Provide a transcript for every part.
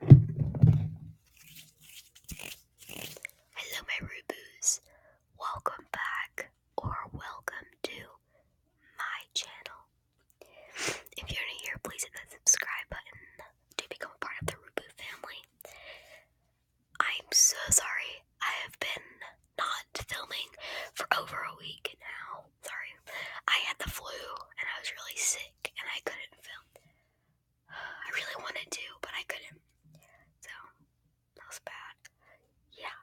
Hello, my Ruboos. Welcome back or welcome to my channel. If you're new here, please hit that subscribe button to become part of the Ruboo family. I'm so sorry. I have been not filming for over a week now sorry. I had the flu and I was really sick and I couldn't film. I really wanted to, but I couldn't. So that bad. Yeah.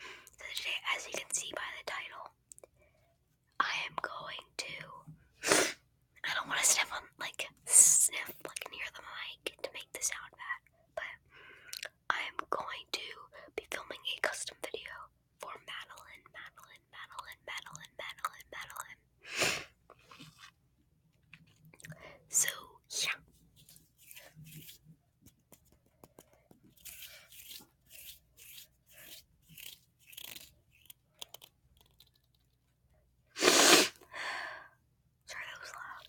So today, as you can see by the title, I am going to. I don't want to sniff on, like, sniff, like, near the mic to make the sound bad, but I am going to be filming a custom video for Madeline, Madeline, Madeline, Madeline, Madeline, Madeline. So, yeah. Sorry, that loud.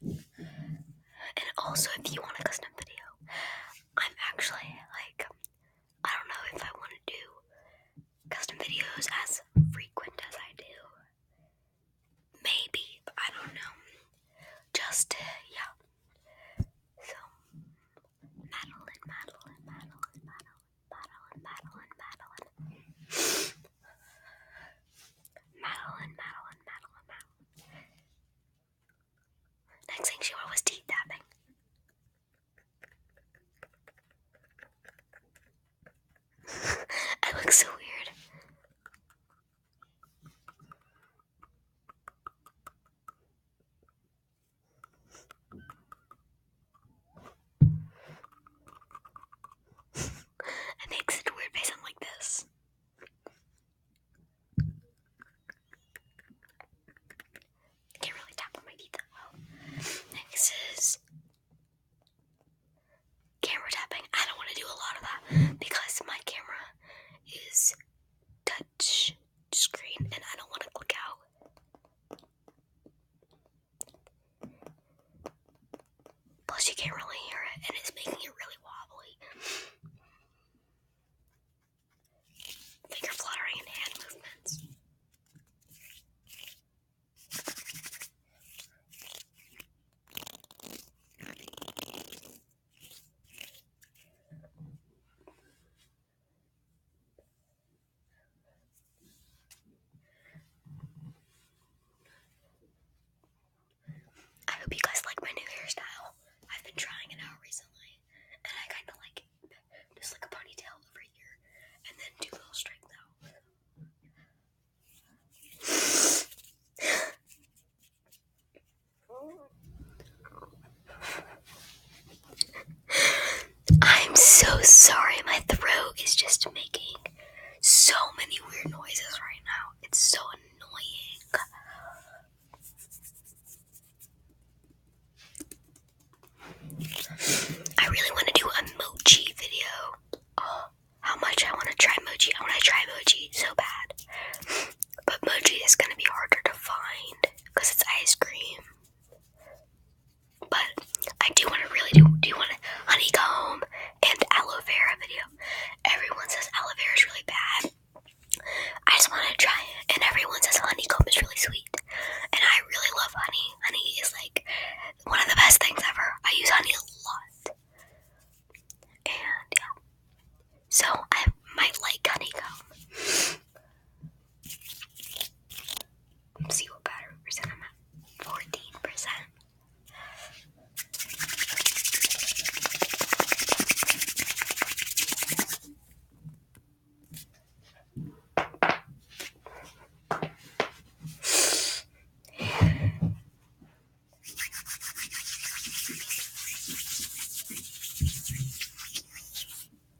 and also, if you want a custom video, I'm actually like, I don't know if I want to do custom videos as frequent as I do. Maybe, I don't know. Just, yeah. So, Madeline, Madeline, Madeline, Madeline. Madeline, Madeline, Madeline, Madeline, Madeline. Next thing she wore was teeth tapping. I look so weird. It makes such weird face. I'm like this. can't really tap on my teeth that Next is camera tapping. I don't want to do a lot of that because my camera is touch screen and I don't want to click out. Plus, you can't really hear it, and it's making it really wobbly. Finger fluttering and hand movements. I hope you guys like my new hairstyle. I've been trying it out recently, and I kind of like just like a ponytail over here, and then do little straight out. I'm so sorry, my throat is just making so many weird noises right now. It's so annoying. I really want to do a mochi video. Oh, how much I want to try mochi. I want to try mochi so bad. But mochi is going to be harder to find because it's ice cream. But I do want to really do do want a honeycomb and aloe vera video. Everyone says aloe vera is really bad. I just want to try it, and everyone says honeycomb is really sweet, and I really love honey. Honey is like one of the best things ever. I use honey a lot, and yeah, so I might like honeycomb see what battery percent I'm at. Fourteen percent.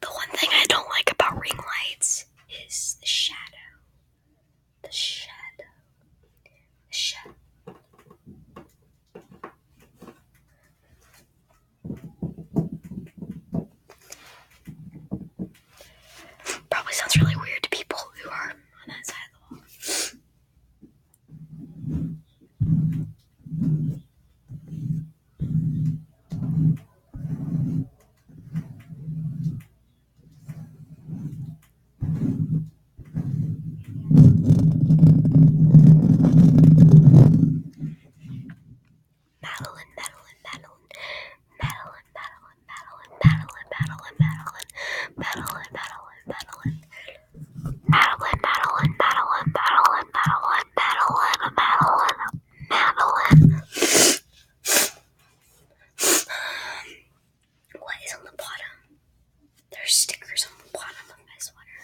The one thing I don't like about ring lights is the shadow. The shadow. The shadow. Probably sounds really weird to people who are on that side of the wall. Madeline, Madeline, Madeline, Madeline, Madeline, and battle and battle and battle and battle and battle and battle and battle and battle and battle and battle and battle and battle and battle and battle and battle and What is on the bottom? There's stickers on the bottom of my sweater.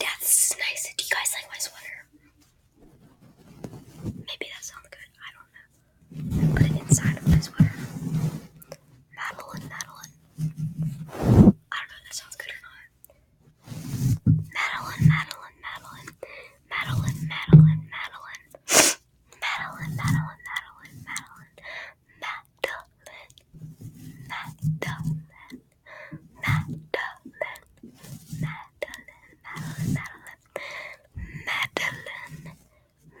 Yeah, this is nice. Do you guys like my sweater? Maybe that sounds good. I don't know and put it inside of my sweater. Madeline, Madeline. I don't know if that sounds good or not. Madeline. Madeline, Madeline, Madeline, Madeline. Madeline, Madeline. Madeline, Madeline, Madeline, Madeline. Madeline.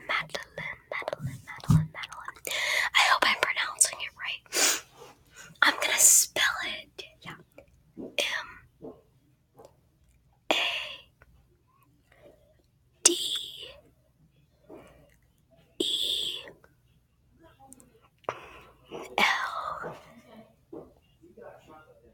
Madeline, Madeline, Madeline, Madeline. I hope I'm pronouncing it right. I'm gonna spell it. Yeah. M A D E L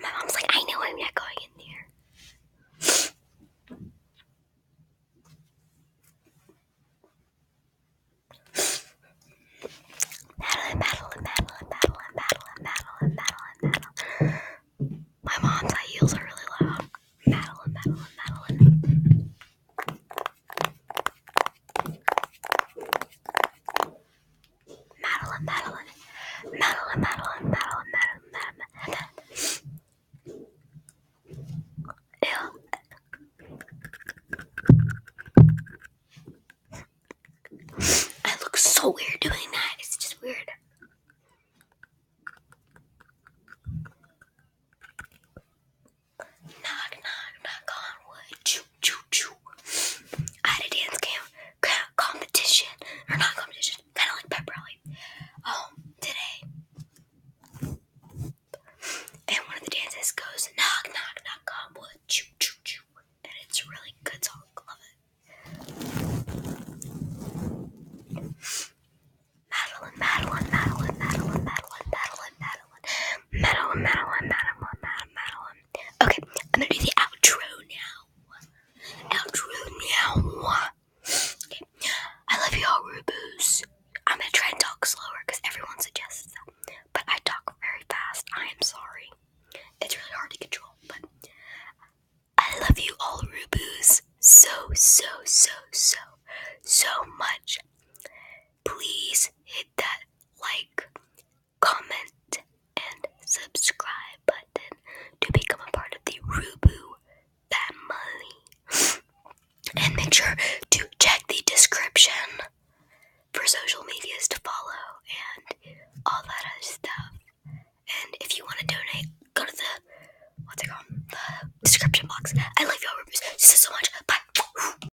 my mom's like, I know I'm not going in there. Battle and battle and battle and battle and My mom's high are really loud. Battle and battle Madeline, Madeline, Madeline, Madeline, Madeline, Madeline, Madeline, I look so weird doing that. It's just weird. Knock, knock, knock on wood. Choo, choo, choo. I had a dance camp competition, or not competition, kind of like pep rally, um, today. And one of the dances goes knock, knock, knock on choo, choo, choo. And it's a really good song. Love it. Madeline, Madeline, Madeline, Madeline, Madeline, Madeline, Madeline, Madeline, Madeline, Madeline, Madeline okay, I'm gonna do the outro now. Outro now. Okay. I love you all, Ruboos. I'm gonna try and talk slower because everyone suggests that. But I talk very fast. I am sorry. It's really hard to control, but I love you all, Ruboos, so, so, so, so, so much. Please hit that like, comment, and subscribe button to become a part of the Rubu family. and make sure to check the description for social medias to follow and all that other stuff. And if you want to donate, go to the what's it called? The description box. I love y'all, Rubus. This so much. Bye.